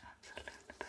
Absolute perfect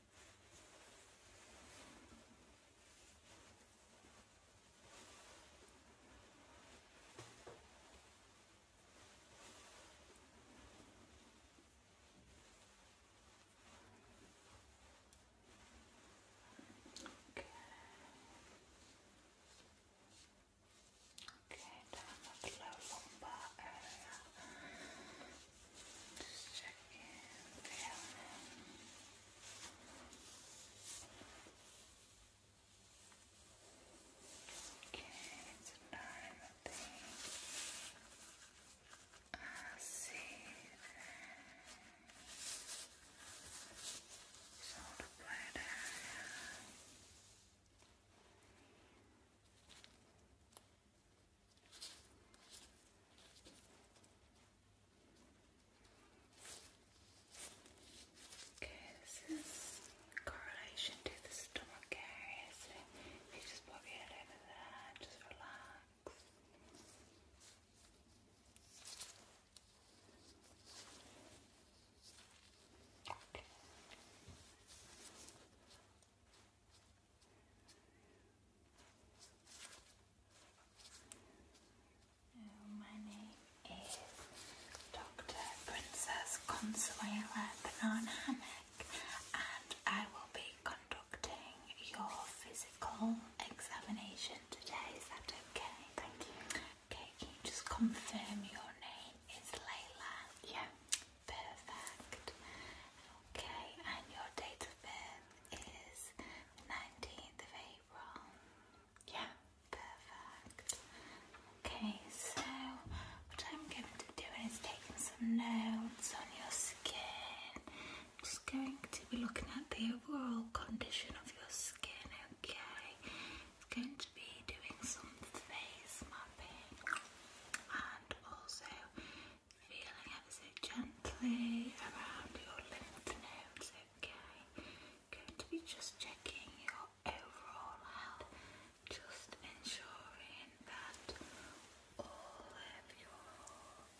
Okay, down at the low lumbar just checking the Okay, it's a normal thing. I see that. So the blood area. Okay, this is correlation to the stomach area, so if you just pop your head over there, just relax. Okay. My name is Dr. Princess Consuela Banana Hammock, and I will be conducting your physical examination today. Is that okay? Thank you. Okay, can you just confirm your name is Layla? Yeah. Perfect. Okay, and your date of birth? is 19th of April. Yeah. Perfect. Okay, so what I'm going to do is taking some notes on your skin. just going to be looking at the overall condition of your skin, okay? It's going to be doing some face mapping and also feeling ever so gently around your lymph nodes, okay? Going to be just checking your overall health, just ensuring that all of your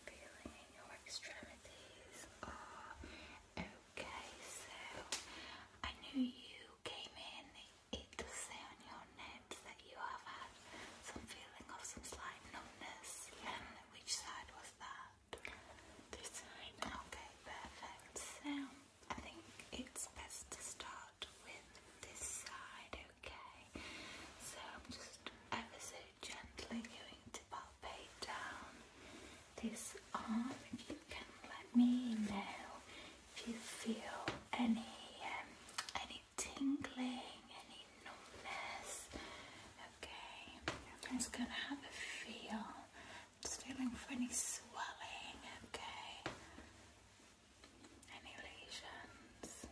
feeling in your extremities are okay. So I knew you came in, it does say on your notes that you have had some feeling of some slight numbness, and um, which side was this side. Okay, perfect. So I think it's best to start with this side, okay? So I'm just ever so gently going to palpate down this arm. If you can let me know if you feel any um, any tingling, any no Okay, just gonna have a feel. feeling for any swelling, okay? Any lesions?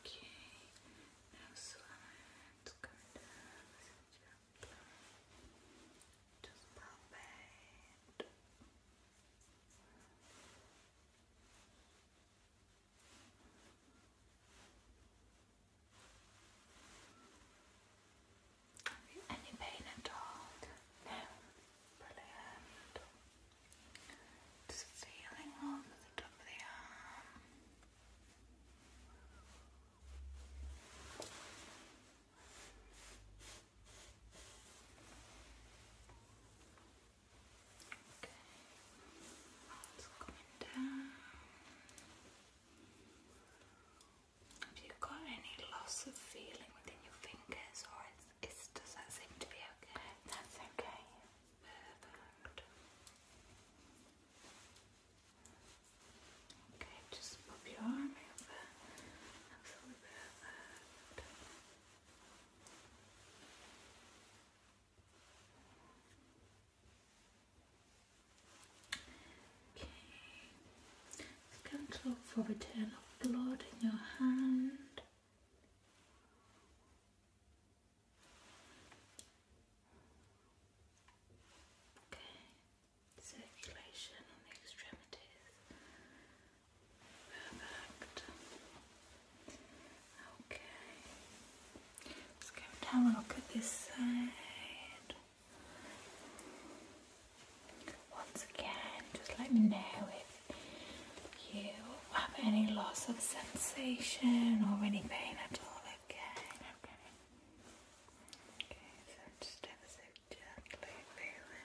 Okay, now slide, come down, just pop it. you any pain at all? No feeling over the top of the arm. Okay. It's coming down. Have you got any loss of feeling within your fingers or does that seem to be okay? That's okay. Okay, just pop your arm over. Okay. Can't look for return of blood in your hand. Okay, circulation on the extremities. Perfect. Okay, let's go and have a look at this side. Once again, just let me know if you have any loss of sensation or any pain at all. Again, okay. Okay, so just ever so gently feeling.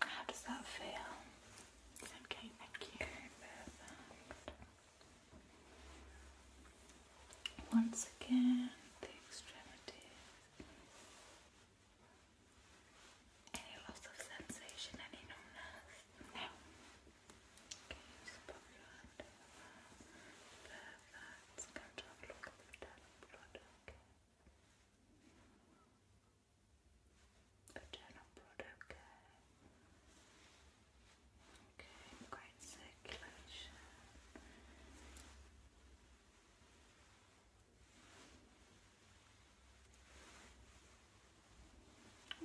How does that feel? okay, thank you. Once again, the extremity. Any loss of sensation, any numbness? No. Okay, just pop your hand over. Perfect. Come to have look at the blood, okay? Vaginal broad, okay. Okay, great circulation.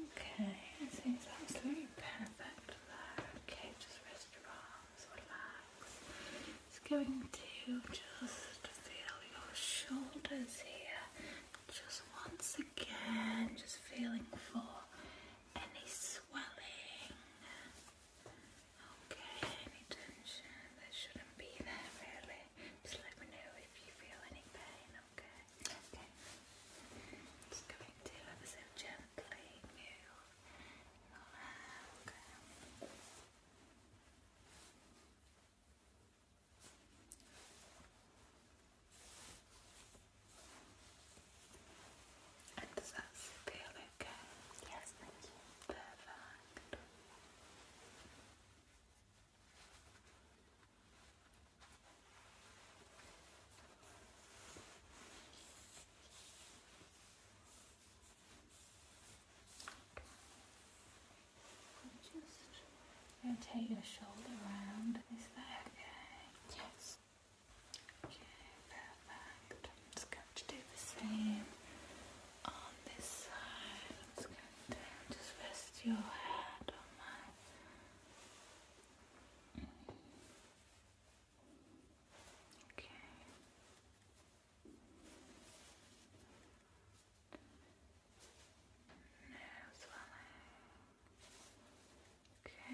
Okay, I think absolutely perfect there. Okay, just rest your arms, relax. It's going to just feel your shoulders here. Just once again, just feeling for any swelling. Okay, any tension that shouldn't be there really. Just let me know if you feel any pain, okay? Okay. Just going to gently and does that feel okay? Yes, thank you. Perfect. Just rotate your shoulder around. Is that okay? Yes. Okay, perfect. I'm just going to do the same on this side. just rest your head on my Okay. No swelling. Okay.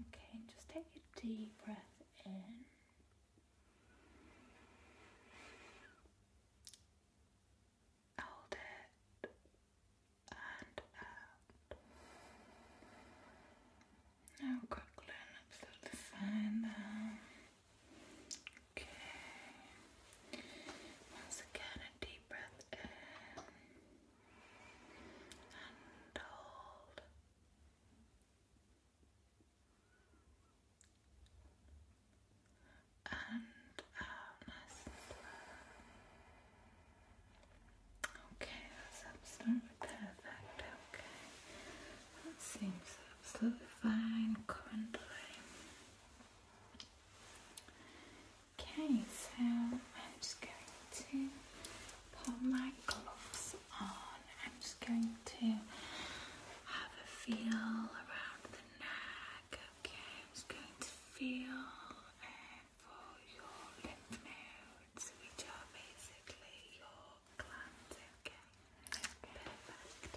Okay, Okay, just take a deep breath in. Hold it and out. Now quickly and absolutely fine there. Okay. Once again, a deep breath in and hold. Okay, that's absolutely perfect. Okay, that seems absolutely fine currently. Okay, so I'm just going to put my gloves on. I'm just going to have a feel around the neck Okay, I'm just going to feel for your lymph nodes, which are basically your glands. Okay, perfect.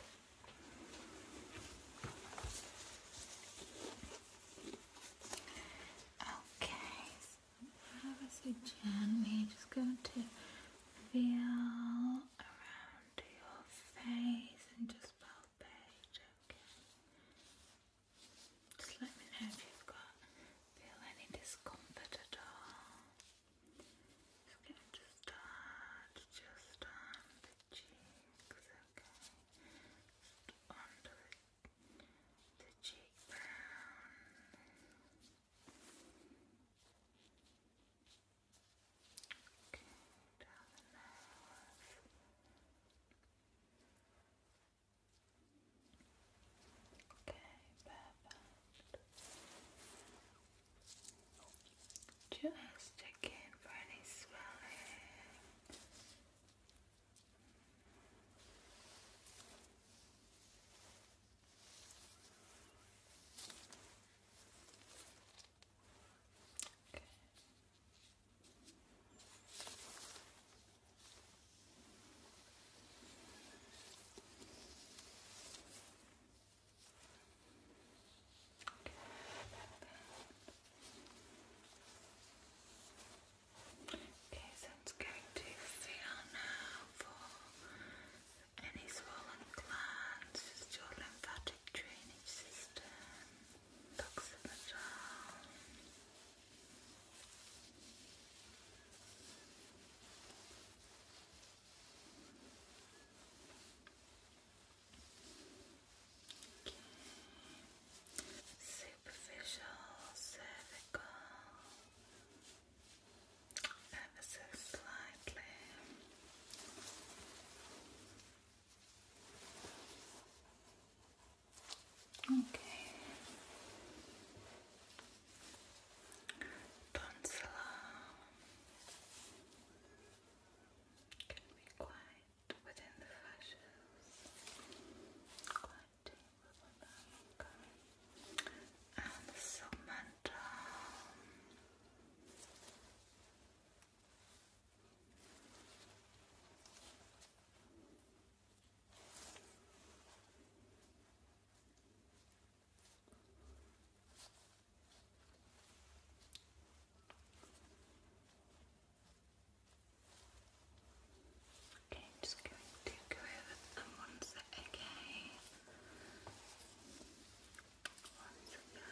Okay, so ever so gently, just going to feel around your face and just. Feel just let me know if you've got feel any discomfort at all. Just going to start just on the cheeks, okay. under the cheekbone. Okay, down the nose. Okay, perfect. Just check in for any swelling. Okay. Okay, so it's going to feel now for any swollen glands, just your lymphatic drainage system. Toxin Okay. Superficial cervical ever so slightly. Okay. Tonsilla can be quite within the fascias, quite deep within them. Okay. And the segmentum. Okay, i just going to go over them once again. Once again.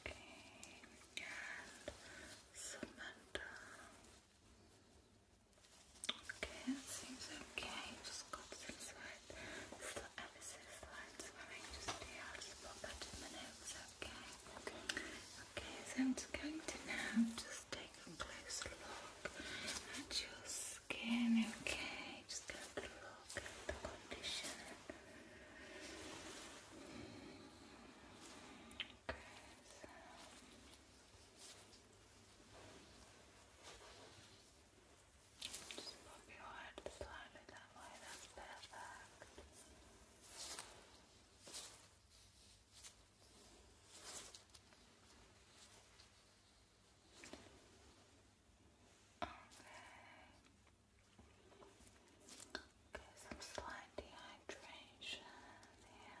Okay, and Samantha. Okay, seems okay. Just got some sweat. Still ever so slight swearing just here. just pop that in my okay? Okay. so I'm going to now just take a closer look at your skin, okay? Just going to look at the condition. Okay, so. Just pop your head slightly that way, that's perfect. Okay. Okay, some slight dehydration here.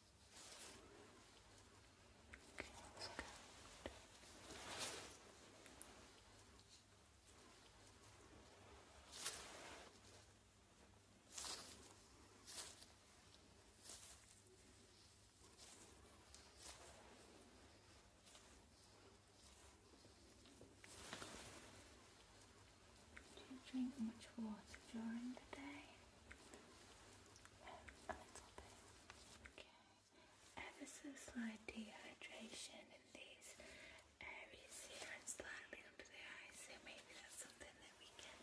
Okay, Do you drink much water during the day? um, a little bit. Okay, ever so slight dehydration in these areas here and slightly the eyes, so maybe that's something that we can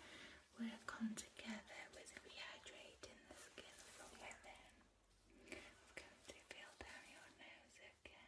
work on together with rehydrating the skin from within. It's to feel down your nose, okay?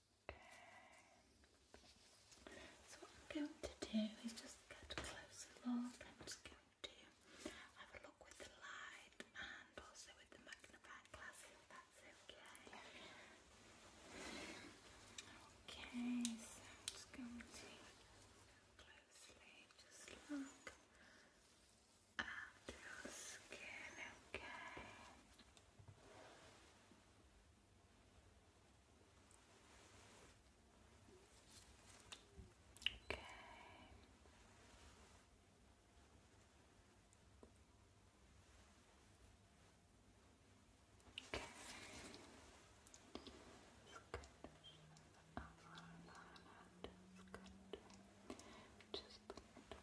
Okay. So what I'm going to do is just get closer look. I'm just going to have a look with the light and also with the magnifying glass if that's okay. Okay, so I'm just going to closely just look at your skin, okay. Okay. Okay. Just a little bit.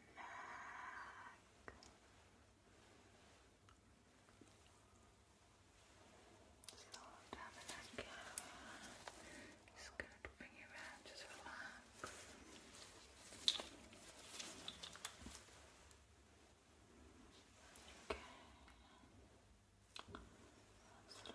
back. So having Just gonna bring you around, just relax. Okay. Let's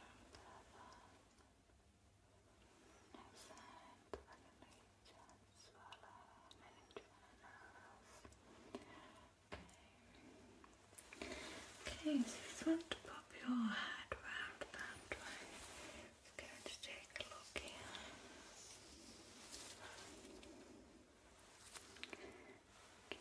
Nice Okay, you just want to pop your head round that way. We're going to take a look here. Just going to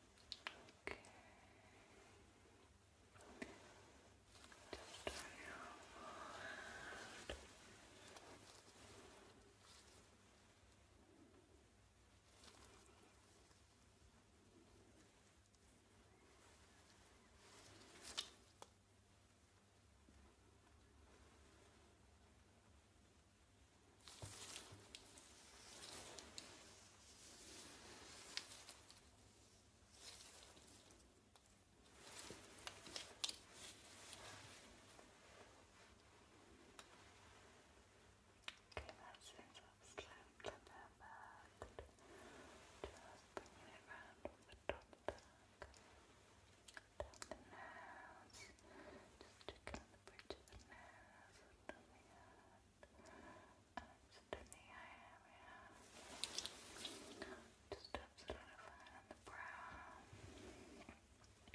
Okay. Just turn your around. Okay, that's it. That's clamped and then back. Just bringing it around from the top back. Down the nose. Just tickling the bridge of the nose. Down the head the eye area. Just helps solidify on the brow. That's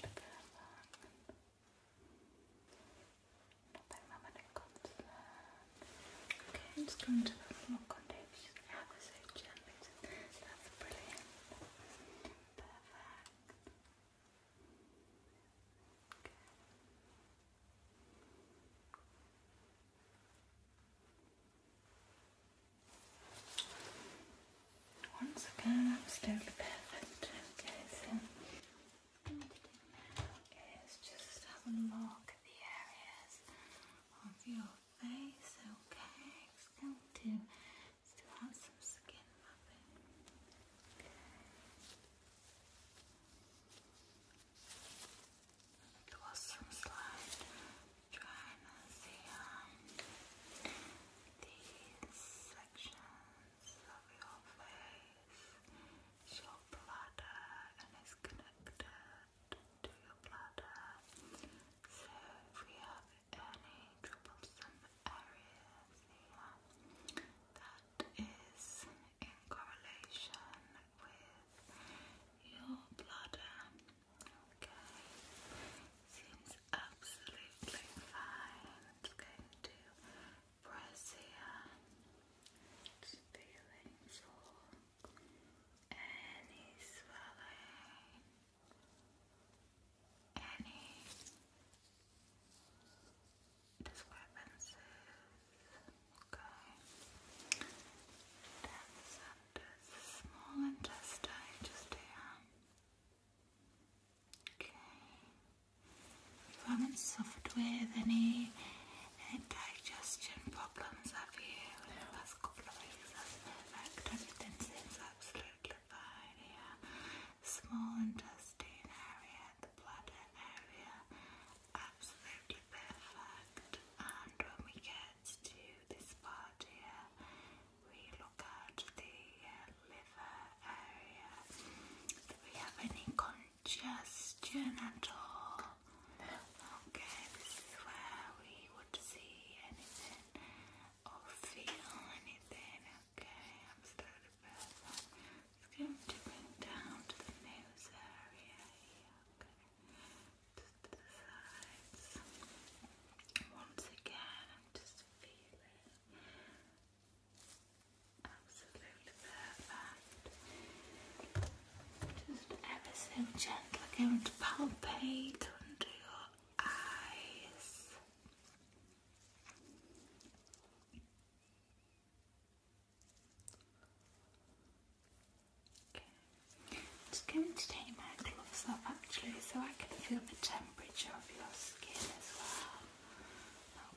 to go along. Nothing Okay, I'm just going to put more condition. Have so gently. That's brilliant. Perfect. Once again, I'm still so what to do now is just have a look at the areas of your face. Okay, still do, still have some skin mapping. It was some slide trying to see um, these sections of your face, your bladder, and it's connected to your bladder. So if we have any troublesome areas here that is in correlation with your bladder. Okay, seems absolutely fine. It's going to press any swelling, any this weapons okay. That's under the small intestine just here. Okay. You haven't suffered with any, digestion problems, have you? In the last couple of weeks, that's perfect. Everything absolutely fine here. Small intestine area and the bladder area absolutely perfect. And when we get to this part here, we look at the uh, liver area. Do we have any congestion at all? Okay, this is where we would see anything or feel anything. Okay, absolutely perfect. It's going to bring down to the nose area okay? to the sides. Once again, I'm just feeling absolutely perfect. Just ever so gentle, going to palpate under your eyes. Okay. I'm just going to take my gloves off actually so I can feel the temperature of your skin as well.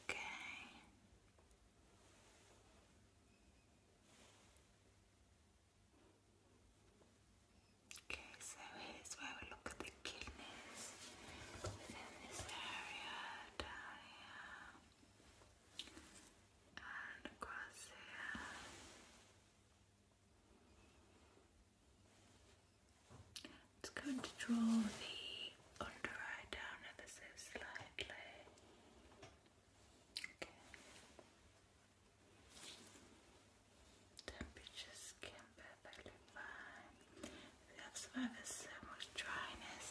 Okay. Okay, so here's where we look at the kidneys within this area down here It's going to draw the under eye down ever so slightly. Temperature's skin perfectly fine. We have so much dryness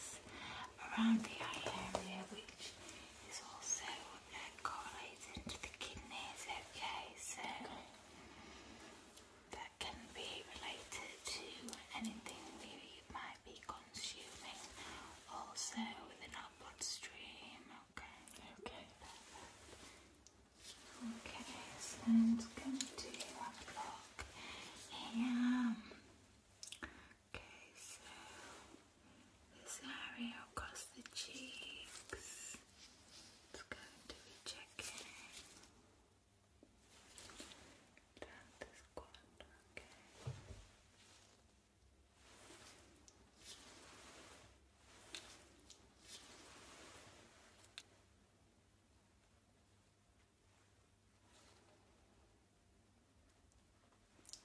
around the eye area, which is also uh, to the kidneys. Okay, so that can be related to anything we might be consuming. Also within our bloodstream. Okay. Okay. Okay, so i to look here. Okay, so this area across the cheeks, it's going to be checking just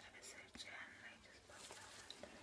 have a search and I just put that. Okay.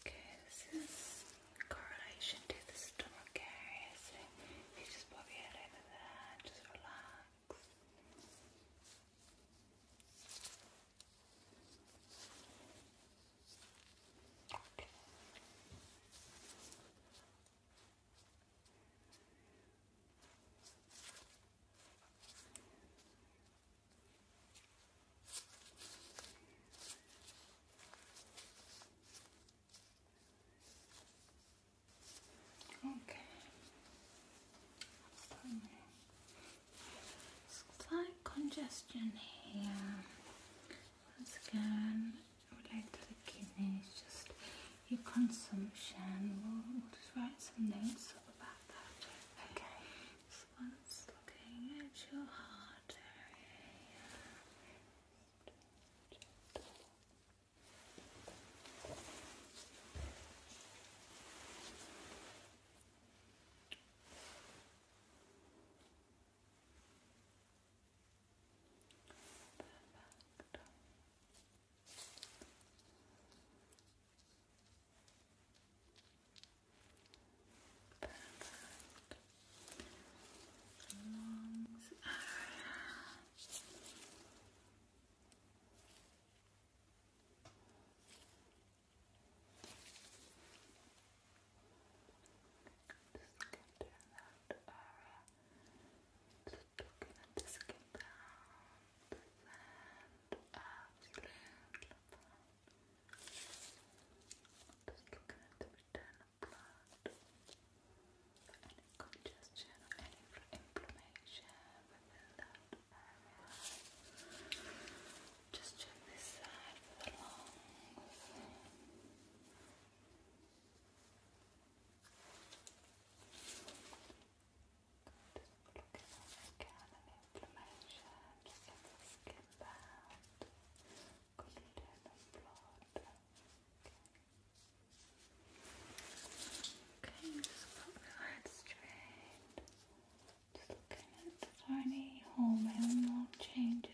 Okay, this is correlation to the stomach area, so you just pop your head over there, just relax. Okay. Slight congestion here. Once again, related to the kidneys, just your consumption. We'll, just write some notes about that. Okay. okay. once looking at your heart area. Perfect. Perfect. Lungs area. Just get around the aura. Just looking at the skin down and absolutely fine. Just looking at the return of Any congestion any inflammation within that area. Just check this side for the lungs. Good. Look at all the cannon inflammation. Look the skin bound. Good return of blood. Okay, just put the head straight. Just looking at the tiny hormone changes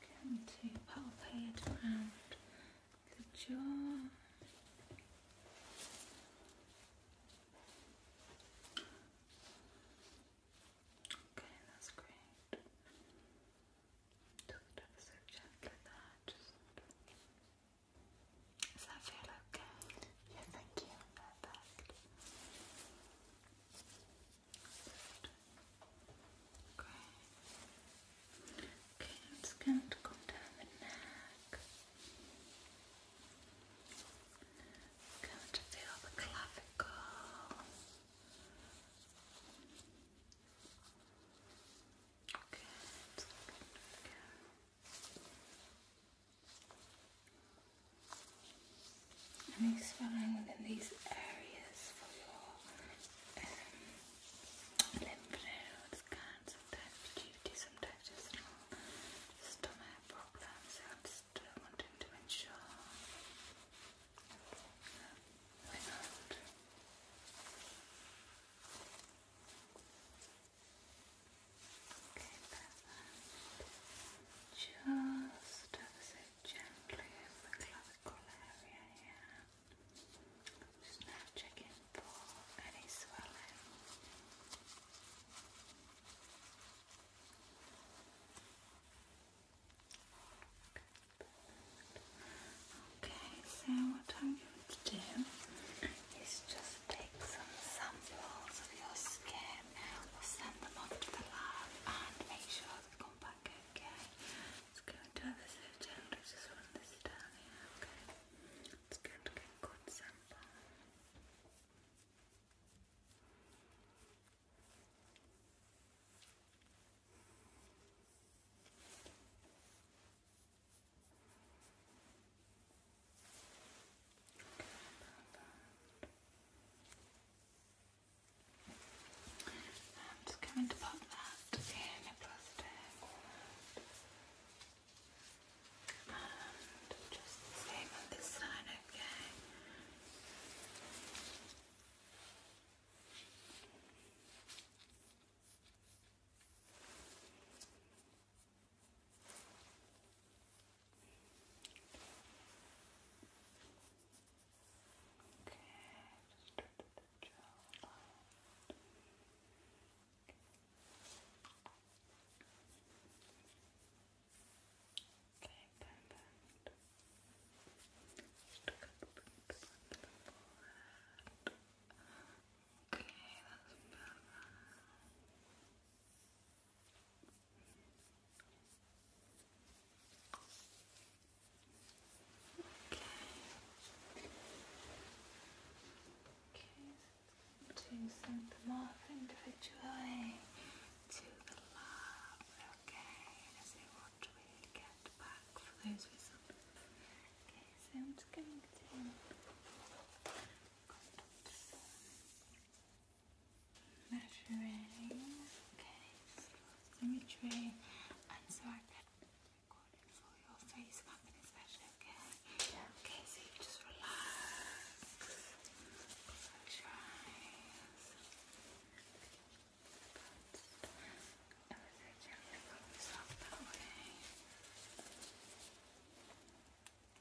Going to palpate around the jaw. Okay, that's great. Just ever so gently there, just does that feel okay? Yeah, thank you. Perfect. Okay, I'm just to come down the neck. i to feel the clavicle. Good. And exploring within these areas for your um, lymph nodes can sometimes due to some digestional stomach problems. I'm just wanting to ensure that um, we Okay, Just so gently in the clavicle area here. Just now checking for any swelling. Okay, so what have to do is just take some samples of your skin, send them off to the lab and make sure they come back okay. It's going to have a certain just run this down okay? It's going to get good sample. I'm just going to pop that in a plastic just same on this side, Okay, just start at the Okay, perfect. Just cut the the Okay, that's better. Okay, to send them off individually to the lab, okay, to see what we get back for those results. Okay, so I'm going to measuring. Okay, symmetry, and so I can record it for your face mapping, especially. Okay. Okay, so you just relax. Close your eyes. But, and so gently rub yourself that way. Okay.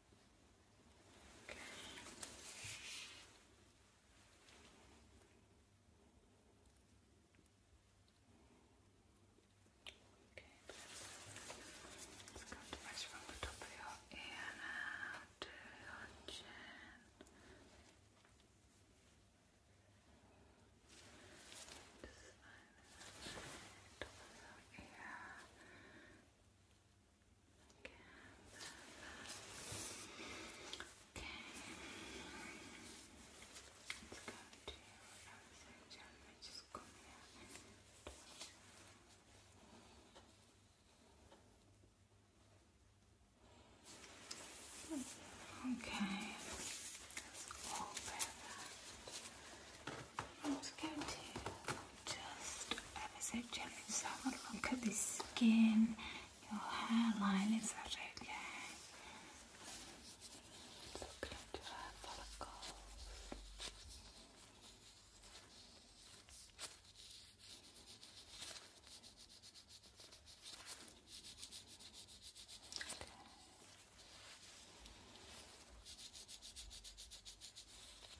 Okay. Okay, let's go to the top of your ear to your chin. Just like top of your ear gently just come here and touch. Okay, that's all perfect. I'm just going to just ever just have a look at the skin, your hairline, is that okay? Look at your follicles.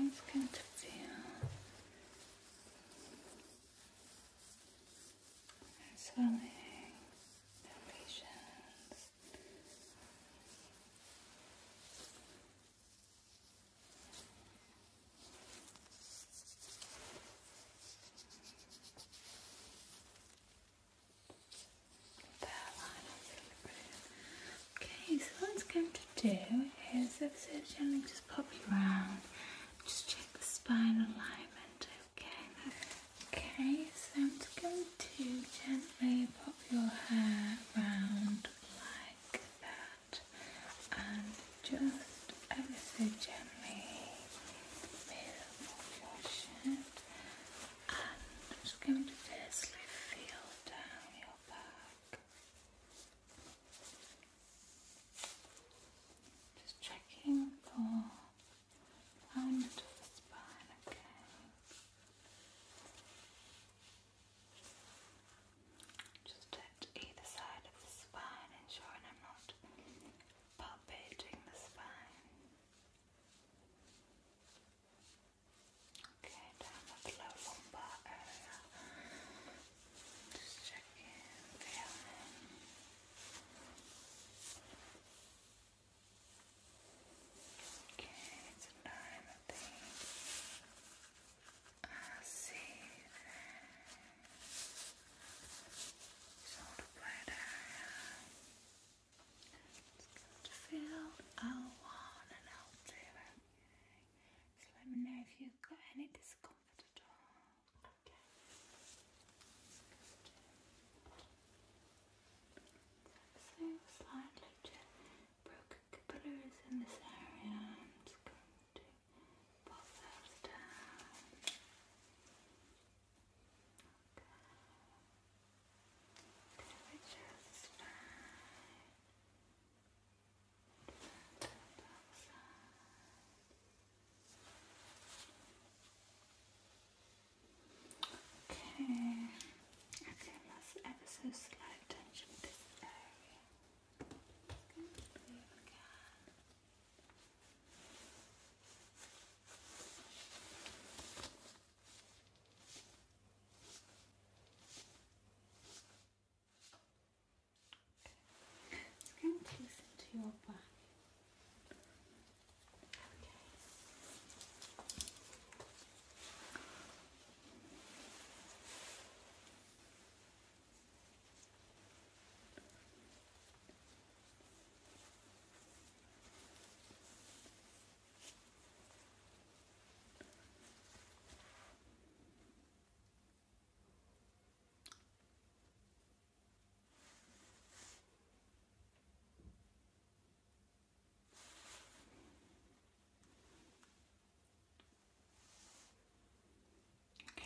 Okay, it's going to feel swelling, palpitations. Okay, so what am going to do is i if so gently just pop you around, just check the spine alignment, okay? Okay, so I'm going to gently pop your hair round like that and just ever so gently move your shirt I'm just going to gently feel down your back. Just checking for alignment of the spine, okay. Just at either side of the spine, ensuring I'm not palpating the spine. Okay, down at the low lumbar Okay, it's nine of I see that. Shoulder blade it's good to feel L1 and L2. So let me know if you've got any discomfort at all. Okay. So slightly broken capillaries in this area. I'm just going to pop those down. Temperature's fine. Turn the Okay, I feel ever so slight tension in this area. Just going Okay. It's going to listen to your back. Okay.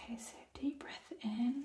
Okay, so deep breath in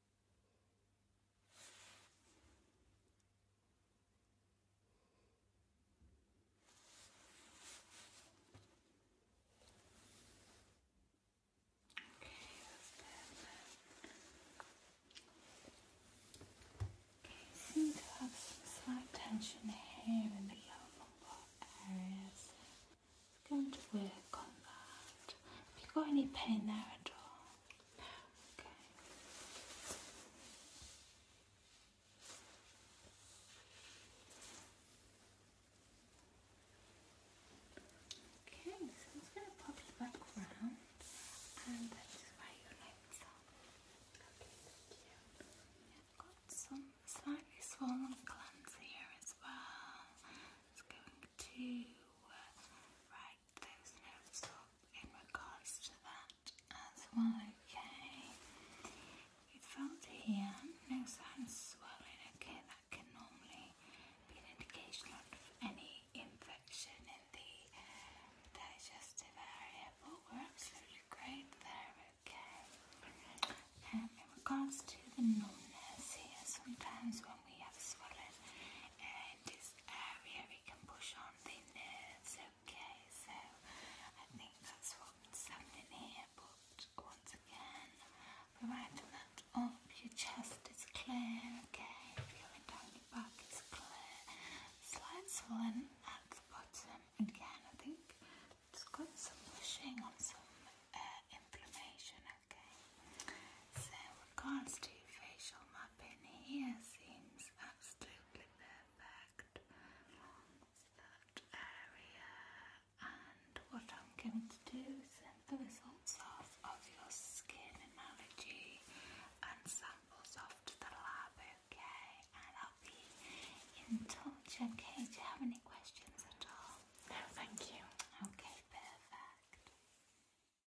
Okay, seem to have some slight tension here in the lower lumbar areas. going to work on that. you got any pain there at all? okay. Okay, so it's going to pop you back round and that is where your nails are. Okay, thank you. I've got some slightly swollen glands here as well. It's going to uh, right make those notes up in regards to that as well, okay? You felt here, no signs of swelling, okay? That can normally be an indication of any infection in the digestive area, but we great there, okay? Um, in regards to the numbness here, sometimes when we have swelling, around this area it can push on the nerves, okay? So I think that's what's happening here, but once again, providing that your chest is clear, okay? Going down your back is clear. Slight swelling at the bottom, again, I think it's got some pushing on some uh, inflammation, okay? So regards to facial mapping here seems absolutely perfect that area and what I'm going to do is send the results off of your skin analogy and samples off to the lab, okay? And I'll be in touch, okay? Do you have any questions at all? No, thank you. Okay, perfect.